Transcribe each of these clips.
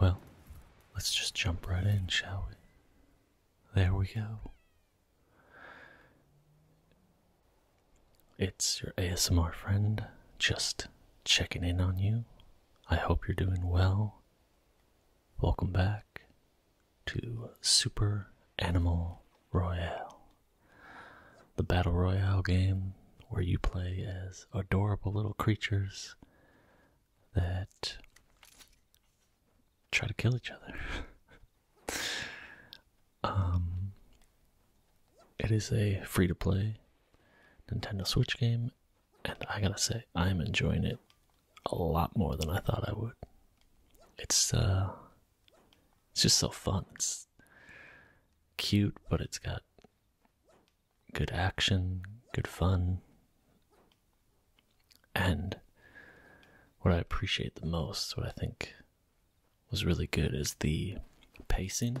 Well, let's just jump right in, shall we? There we go. It's your ASMR friend, just checking in on you. I hope you're doing well. Welcome back to Super Animal Royale, the battle royale game where you play as adorable little creatures that try to kill each other. Um, it is a free to play Nintendo Switch game and I gotta say, I'm enjoying it a lot more than I thought I would. It's uh it's just so fun. It's cute, but it's got good action, good fun. And what I appreciate the most, what I think was really good is the pacing.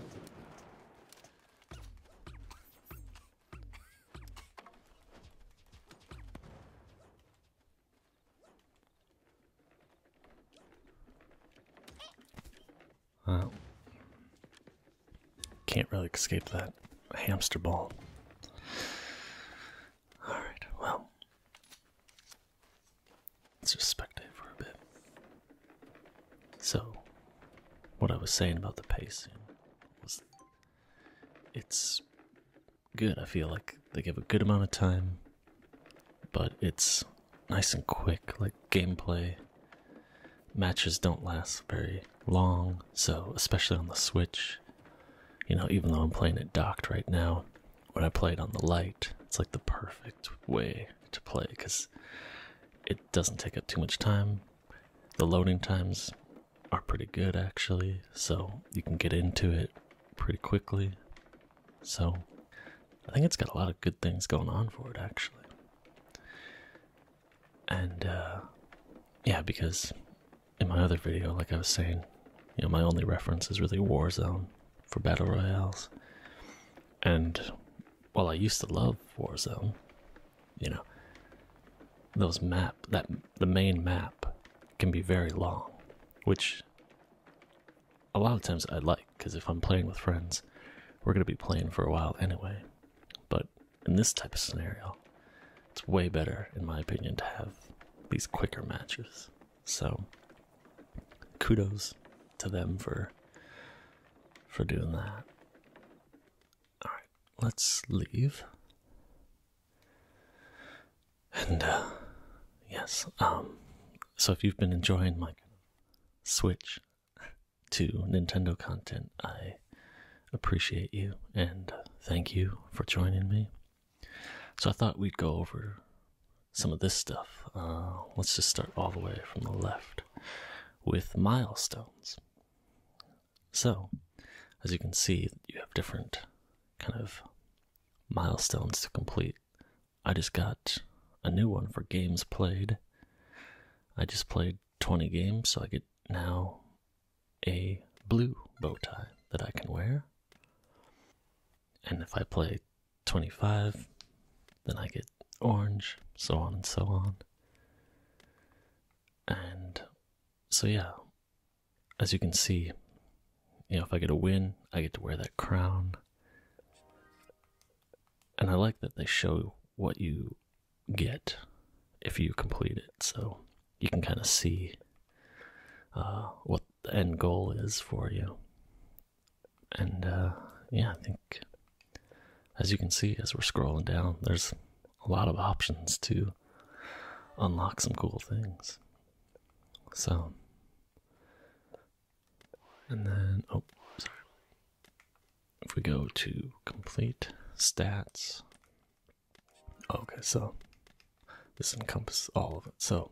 Well, can't really escape that hamster ball. Alright, well, let's just spectate for a bit. So, what I was saying about the pacing. It's good. I feel like they give a good amount of time, but it's nice and quick, like gameplay. Matches don't last very long, so especially on the Switch, you know, even though I'm playing it docked right now, when I play it on the light, it's like the perfect way to play because it doesn't take up too much time the loading times are pretty good actually, so you can get into it pretty quickly. So I think it's got a lot of good things going on for it actually. And uh, yeah, because in my other video, like I was saying, you know, my only reference is really Warzone for battle royales. And while I used to love Warzone, you know those map that the main map can be very long which a lot of times i like because if i'm playing with friends we're going to be playing for a while anyway but in this type of scenario it's way better in my opinion to have these quicker matches so kudos to them for for doing that all right, let's leave. And uh, yes, um, so if you've been enjoying my switch to Nintendo content, I appreciate you and uh, thank you for joining me. So I thought we'd go over some of this stuff. Uh, let's just start all the way from the left with milestones. So, as you can see, you have different kind of milestones to complete. I just got a new one for games played. I just played 20 games, so I get now a blue bow tie that I can wear. And if I play 25, then I get orange, so on and so on. And so, yeah, as you can see, you know, if I get a win, I get to wear that crown. And I like that they show what you get if you complete it, so you can kind of see uh, what the end goal is for you. And uh, yeah, I think as you can see, as we're scrolling down, there's a lot of options to unlock some cool things. So, and then, oh, sorry. If we go to complete stats, okay, so this encompasses all of it. So,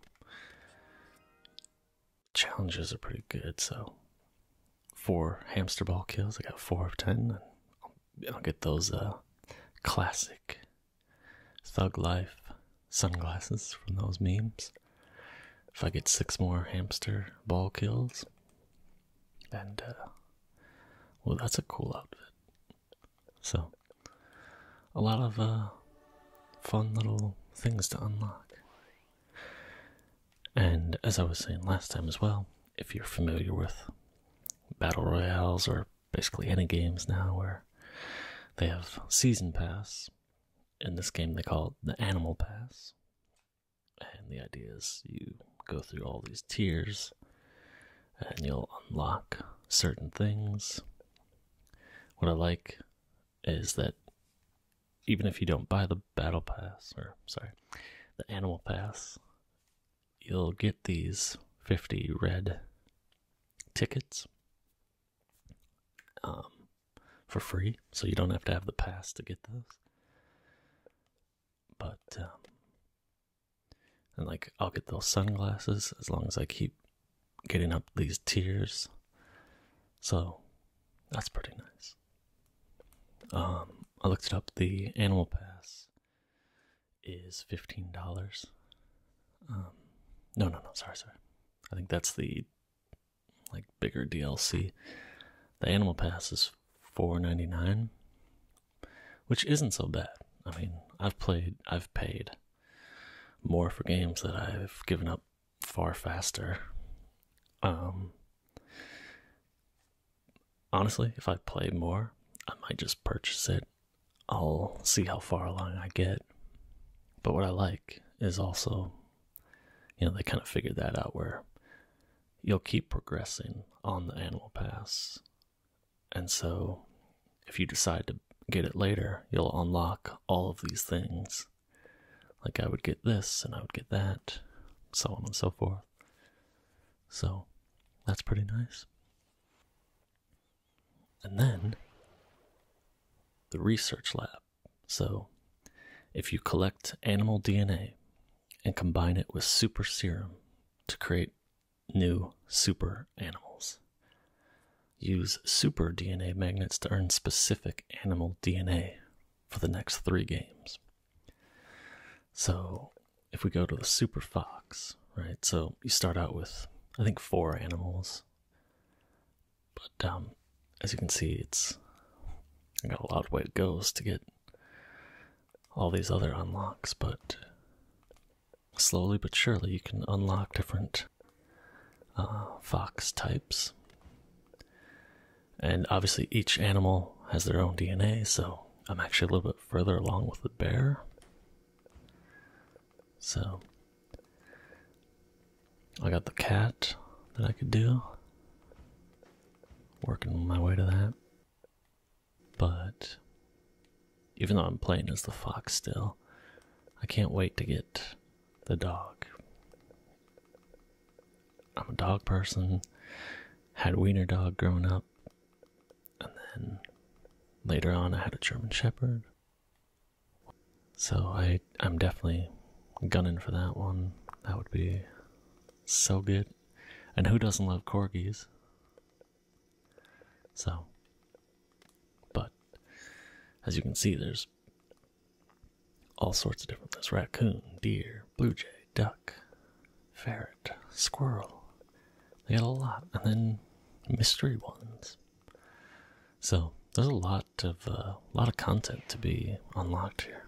challenges are pretty good. So, four hamster ball kills. I got four of ten. I'll, I'll get those uh, classic thug life sunglasses from those memes. If I get six more hamster ball kills, and uh, well, that's a cool outfit. So, a lot of uh, fun little things to unlock. And as I was saying last time as well, if you're familiar with battle royales or basically any games now where they have season pass, in this game they call it the animal pass. And the idea is you go through all these tiers and you'll unlock certain things. What I like is that even if you don't buy the battle pass, or sorry, the animal pass, you'll get these 50 red tickets um, for free, so you don't have to have the pass to get those. But, um, and like, I'll get those sunglasses as long as I keep getting up these tiers. So, that's pretty nice. Um, I looked it up. The animal pass is fifteen dollars. Um, no, no, no. Sorry, sorry. I think that's the like bigger DLC. The animal pass is four ninety nine, which isn't so bad. I mean, I've played, I've paid more for games that I've given up far faster. Um, honestly, if I play more, I might just purchase it. I'll see how far along I get. But what I like is also, you know, they kind of figured that out where you'll keep progressing on the animal pass. And so if you decide to get it later, you'll unlock all of these things like I would get this and I would get that, so on and so forth. So that's pretty nice. And then the research lab. So if you collect animal DNA and combine it with super serum to create new super animals. Use super DNA magnets to earn specific animal DNA for the next three games. So if we go to the Super Fox, right? So you start out with, I think, four animals. But um, as you can see, it's I got a lot of way it goes to get all these other unlocks, but slowly but surely you can unlock different uh, fox types. And obviously, each animal has their own DNA, so I'm actually a little bit further along with the bear. So, I got the cat that I could do. Working my way to that. But, even though I'm playing as the fox still, I can't wait to get the dog. I'm a dog person. Had wiener dog growing up, and then later on I had a German Shepherd. So I I'm definitely gunning for that one. That would be so good. And who doesn't love corgis? So, but as you can see, there's all sorts of different ones: raccoon, deer, bluejay, duck, ferret, squirrel. They got a lot, and then mystery ones. So there's a lot of a uh, lot of content to be unlocked here.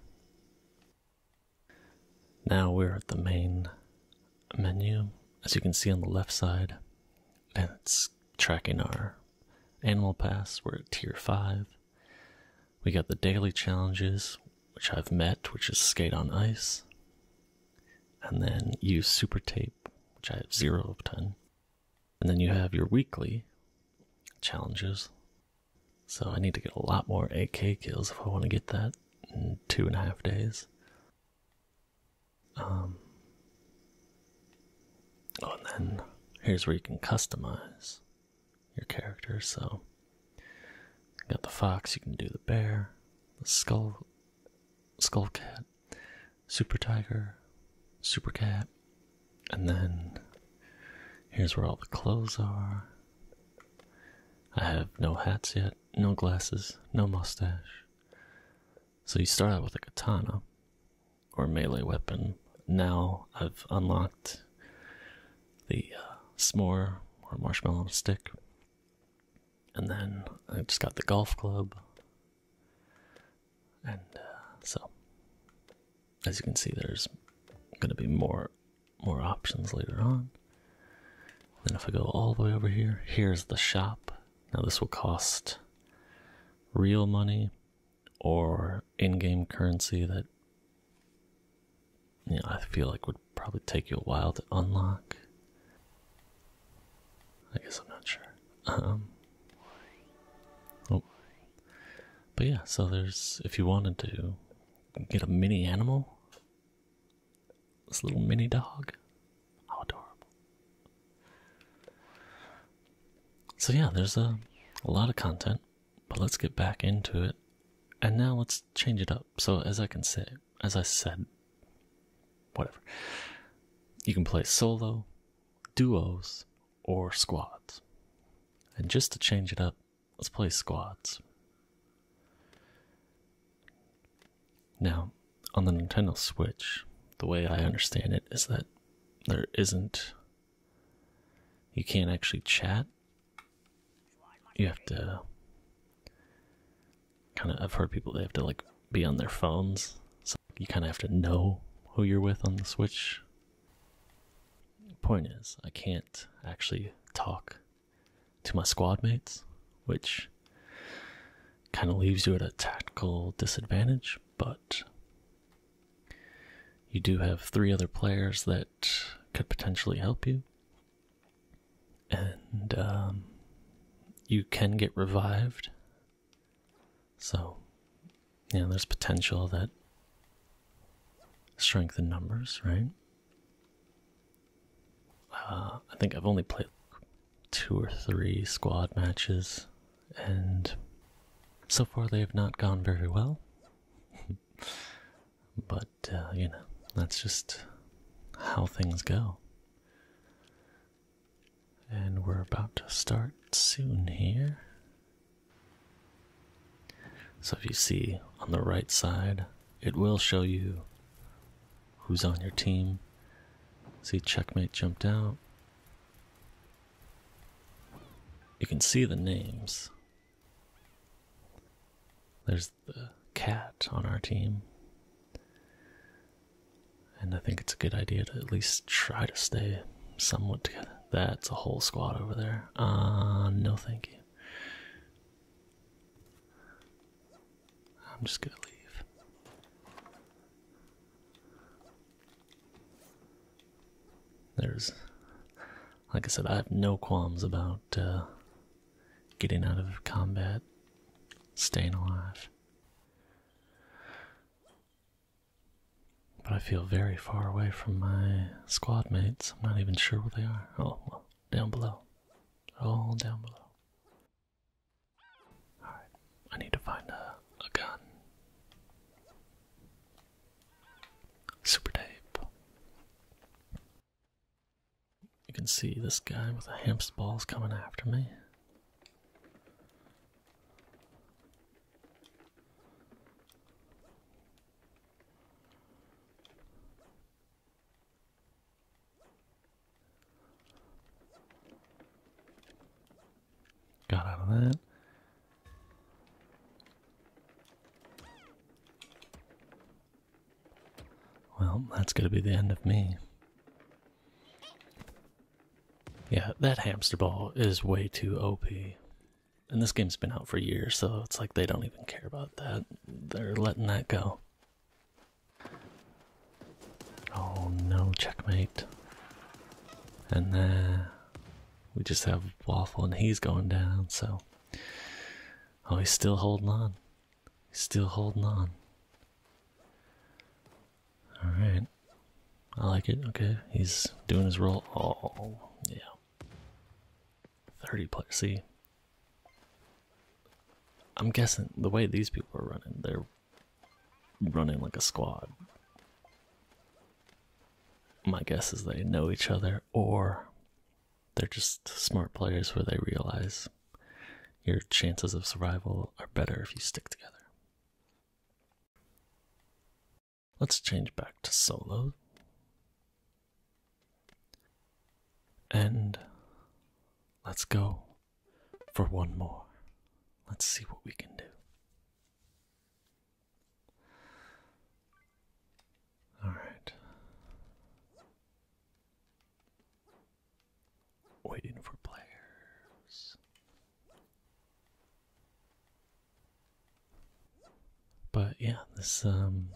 Now we're at the main menu, as you can see on the left side, and it's tracking our animal pass. We're at tier five. We got the daily challenges, which I've met, which is skate on ice, and then use super tape, which I have zero of 10. And then you have your weekly challenges. So I need to get a lot more AK kills if I want to get that in two and a half days. Um, oh, and then here's where you can customize your character. So, you got the fox, you can do the bear, the skull, skull cat, super tiger, super cat, and then here's where all the clothes are. I have no hats yet, no glasses, no mustache. So you start out with a katana, or melee weapon. Now I've unlocked the uh, s'more or marshmallow stick. And then I just got the golf club. And uh, so, as you can see, there's going to be more more options later on. And if I go all the way over here, here's the shop. Now this will cost real money, or in-game currency that you I feel like would probably take you a while to unlock. I guess I'm not sure. Um, oh. But yeah, so there's, if you wanted to get a mini animal, this little mini dog, how adorable. So yeah, there's a, lot of content, but let's get back into it. And now let's change it up. So as I can say, as I said, whatever. You can play solo, duos, or squads. And just to change it up, let's play squads. Now, on the Nintendo Switch, the way I understand it is that there isn't you can't actually chat. You have to kind of. I've heard people they have to like be on their phones, so you kind of have to know who you're with on the Switch. Point is, I can't actually talk to my squad mates, which kind of leaves you at a tactical disadvantage, but you do have three other players that could potentially help you. And um, you can get revived. So, yeah, there's potential that strength in numbers, right? Uh, I think I've only played two or three squad matches and so far they have not gone very well. but, uh, you know, that's just how things go. And we're about to start soon here. So if you see on the right side, it will show you who's on your team. See, checkmate jumped out. You can see the names. There's the cat on our team. And I think it's a good idea to at least try to stay somewhat together. That's a whole squad over there. Ah, uh, no thank you. I'm just gonna leave. There's, like I said, I have no qualms about uh, getting out of combat, staying alive. But I feel very far away from my squad mates. I'm not even sure where they are. Oh, well, down below. All down below. Alright. I need to find a, a gun. Super tape. You can see this guy with the hamster balls coming after me. Got out of that. Well, that's going to be the end of me. Yeah, that hamster ball is way too OP. And this game's been out for years, so it's like they don't even care about that. They're letting that go. Oh no, checkmate. And there, we just have Waffle and he's going down, so. Oh, he's still holding on. He's still holding on. Alright. I like it. Okay, he's doing his role. Oh, yeah. 30 plus. See, I'm guessing the way these people are running, they're running like a squad. My guess is they know each other or they're just smart players where they realize your chances of survival are better if you stick together. Let's change back to solo. And let's go for one more. Let's see what we can do. All right. Waiting for players. But yeah, this um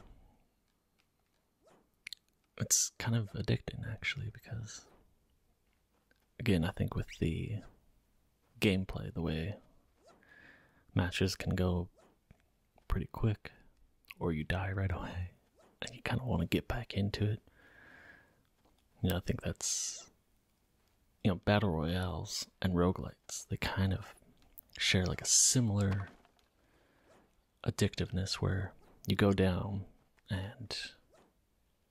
it's kind of addicting actually because again, I think with the gameplay, the way matches can go pretty quick, or you die right away, and you kind of want to get back into it. You know, I think that's, you know, battle royales and roguelites, they kind of share like a similar addictiveness where you go down and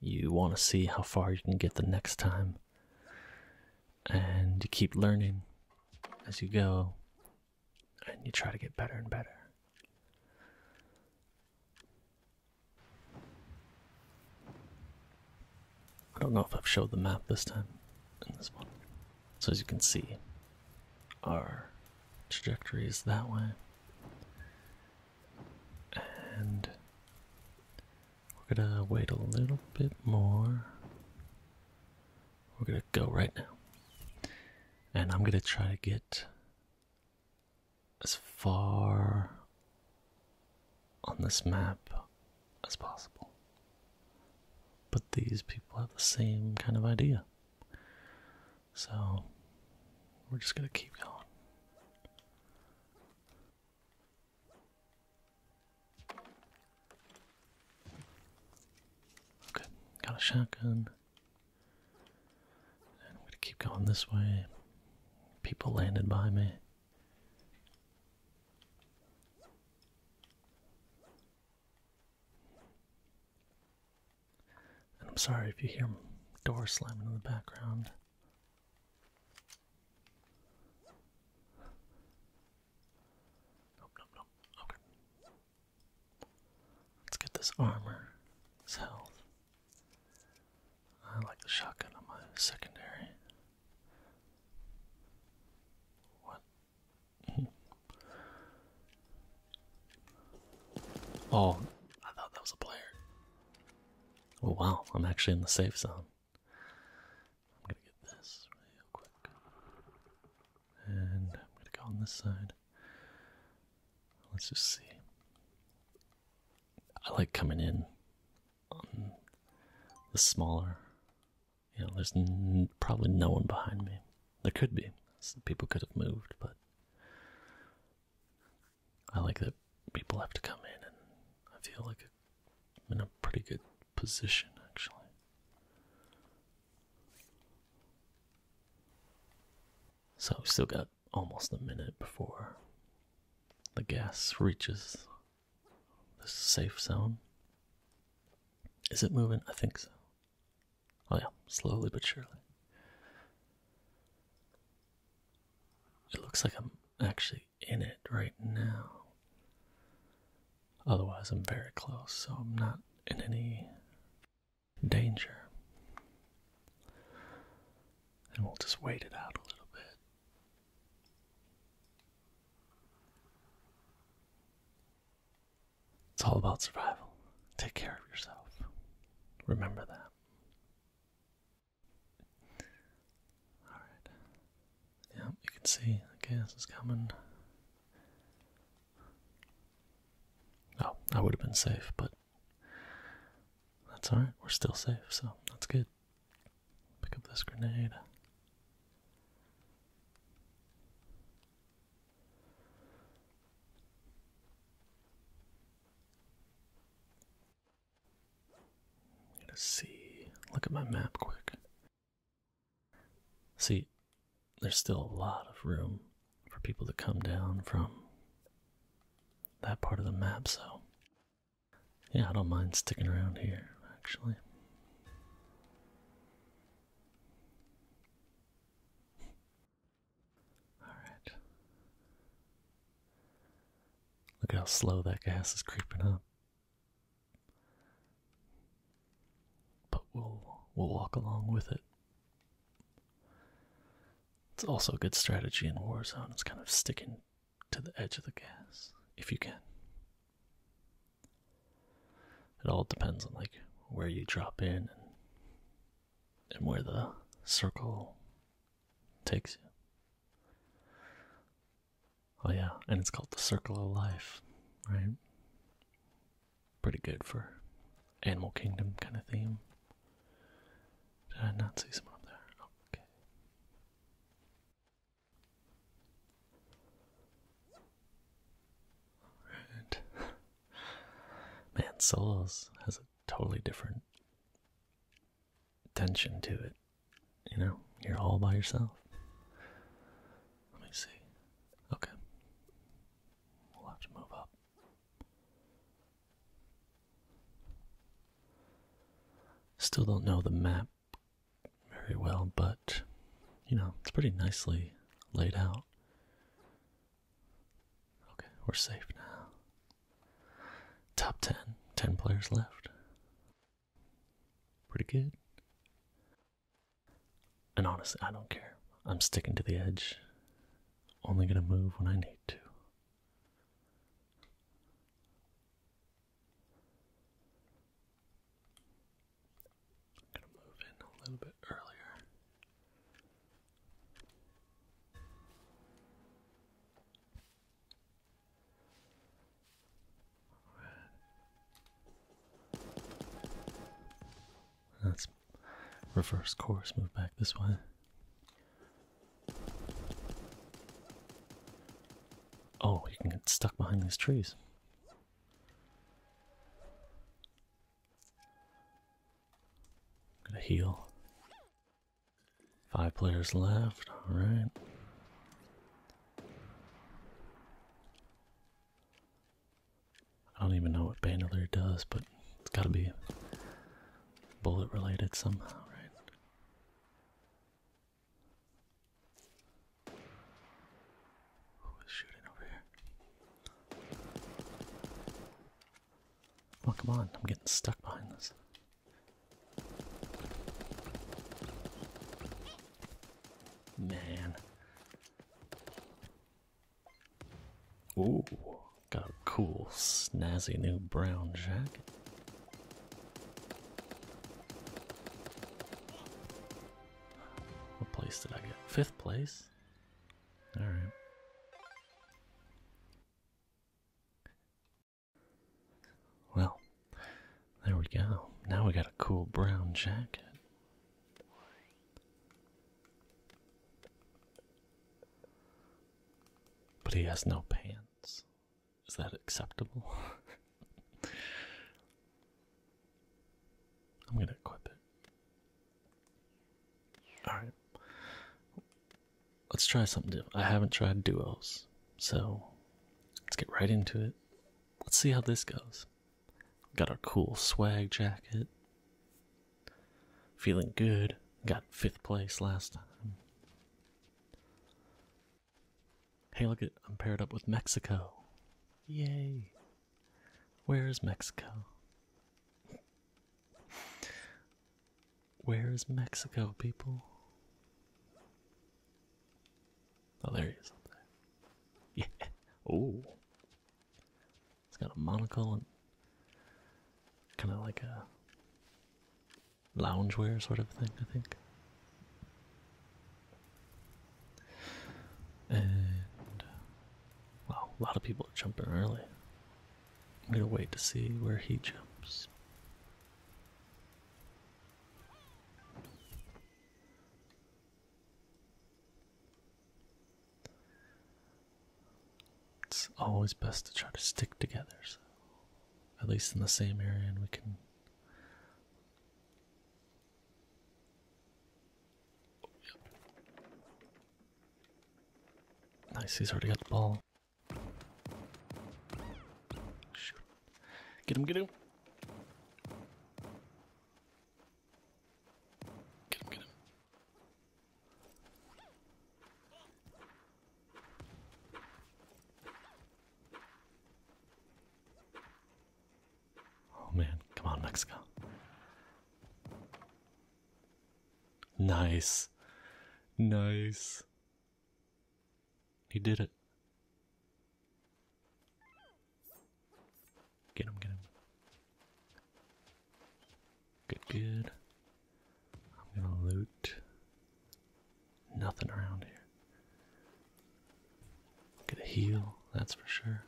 you want to see how far you can get the next time. And you keep learning as you go, and you try to get better and better. I don't know if I've showed the map this time in this one. So as you can see, our trajectory is that way and we're gonna wait a little bit more. We're gonna go right now, and I'm gonna try to get as far on this map as possible. But these people have the same kind of idea. So we're just gonna keep going. Okay, got a shotgun. I'm gonna keep going this way. People landed by me. And I'm sorry if you hear door slamming in the background. Nope, nope, nope. Okay. Let's get this armor, this health. I like the shotgun on my secondary. What? Hmm. oh, I thought that was a player. Oh wow, I'm actually in the safe zone. I'm gonna get this real quick. And I'm gonna go on this side. Let's just see. I like coming in on the smaller. You know, there's probably no one behind me. There could be. people could have moved, but I like that people have to come in, and I feel like I'm in a pretty good position actually. So, we still got almost a minute before the gas reaches the safe zone. Is it moving? I think so. Oh, yeah, slowly but surely. It looks like I'm actually in it right now. Otherwise, I'm very close, so I'm not in any danger. And we'll just wait it out a little bit. It's all about survival. Take care of yourself. Remember that. Alright. Yeah, you can see the gas is coming. Oh, I would have been safe, but that's alright. We're still safe, so that's good. Pick up this grenade. Let's see. Look at my map quick. See, there's still a lot of room for people to come down from that part of the map, so yeah, I don't mind sticking around here, actually. Alright. Look how slow that gas is creeping up. But we'll we'll walk along with it. It's also a good strategy in Warzone. It's kind of sticking to the edge of the gas if you can. It all depends on like where you drop in and, and where the circle takes you. Oh, yeah, and it's called the Circle of Life, right? Pretty good for Animal Kingdom kind of theme. Did I not see someone up there? Okay. Alright. Man, Souls has a totally different tension to it. You know, you're all by yourself. Let me see. Okay. We'll have to move up. Still don't know the map very well, but you know, it's pretty nicely laid out. Okay, we're safe now. Top 10. 10 players left. Pretty good. And honestly, I don't care. I'm sticking to the edge. Only gonna move when I need to. gonna move in a little bit earlier. That's reverse course, move back this way. Oh, you can get stuck behind these trees i gonna heal. Five players left, alright. I don't even know what Bandolier does, but it's gotta be bullet related somehow, right? Who is shooting over here? Oh, come on. I'm getting stuck behind this. Man. Ooh, got a cool, snazzy new brown jacket. What place did I get? Fifth place? All right. Well, there we go. Now we got a cool brown jacket. But he has no pants. Is that acceptable? I'm gonna equip it. Alright. Let's try something different. I haven't tried duos, so let's get right into it. Let's see how this goes. Got our cool swag jacket. Feeling good. Got fifth place last time. Hey, look at I'm paired up with Mexico. Yay. Where is Mexico? Where is Mexico, people? Oh, up there. Yeah. Oh. It's got a monocle and kind of like a loungewear sort of thing, I think. And Wow, a lot of people are jumping early. I'm gonna wait to see where he jumps. It's always best to try to stick together, so at least in the same area, and we can. Nice, he's already got the ball. Shoot. Get him, get him. Get him, get him. Oh man, come on, Mexico. Nice. Nice. He did it. Get him, get him. Good, good. I'm gonna loot. Nothing around here. Get a heal, that's for sure.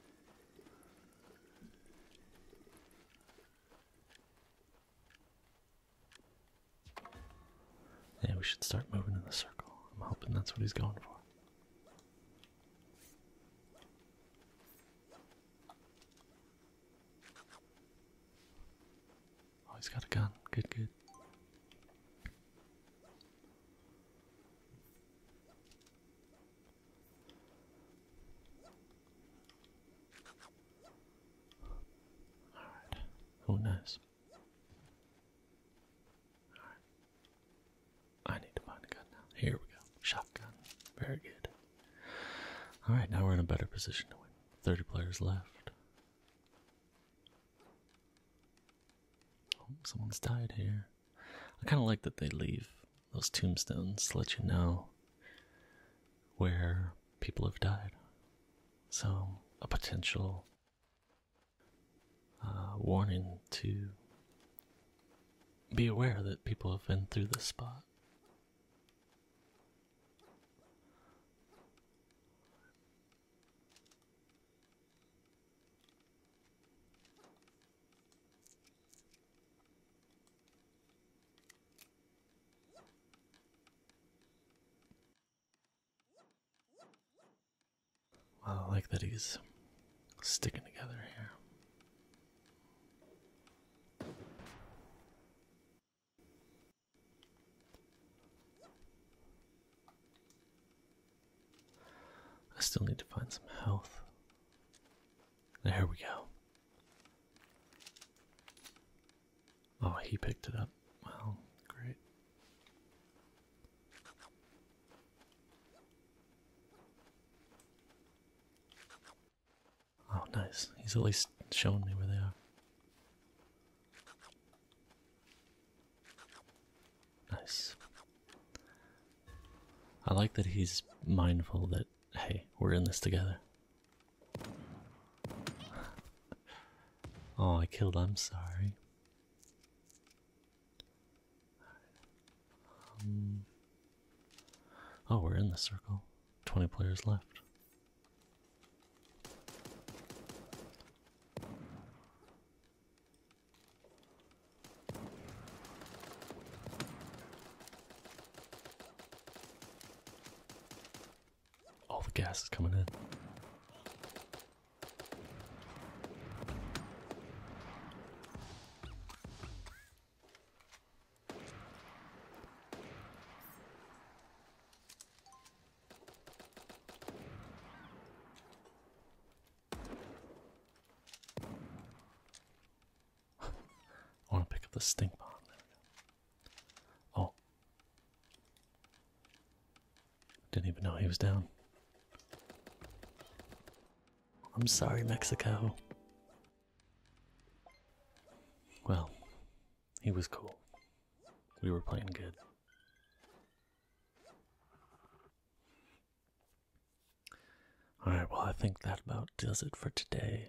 Yeah, we should start moving in the circle. I'm hoping that's what he's going for. Oh, he's got a gun. Good, good. Alright. Who knows? Alright. I need to find a gun now. Here we go. Shotgun. Very good. Alright, now we're in a better position to win. 30 players left. Oh, someone's died here. I kind of like that they leave those tombstones to let you know where people have died. So, a potential uh, warning to be aware that people have been through this spot. I like that he's sticking together here. I still need to find some health. There we go. Oh, he picked it up. Well, great. Oh, nice. He's at least showing me where they are. Nice. I like that he's mindful that, hey, we're in this together. oh, I killed, I'm sorry. Um, oh, we're in the circle. 20 players left. All the gas is coming in. I want to pick up the stink bomb. Oh. Didn't even know he was down. I'm sorry, Mexico. Well, he was cool. We were playing good. All right, well, I think that about does it for today.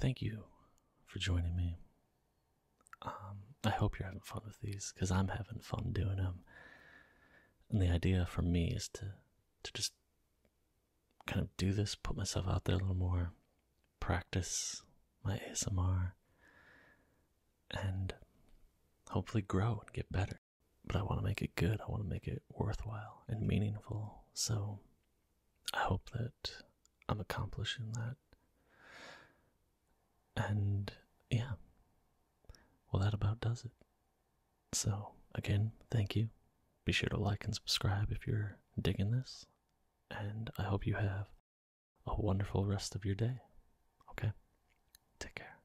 Thank you for joining me. Um, I hope you're having fun with these because I'm having fun doing them. And the idea for me is to to just kind of do this, put myself out there a little more, practice my ASMR, and hopefully grow and get better. But I want to make it good, I want to make it worthwhile and meaningful, so I hope that I'm accomplishing that. And yeah, well, that about does it. So, again, thank you. Be sure to like and subscribe if you're digging this, and I hope you have a wonderful rest of your day. Okay? Take care.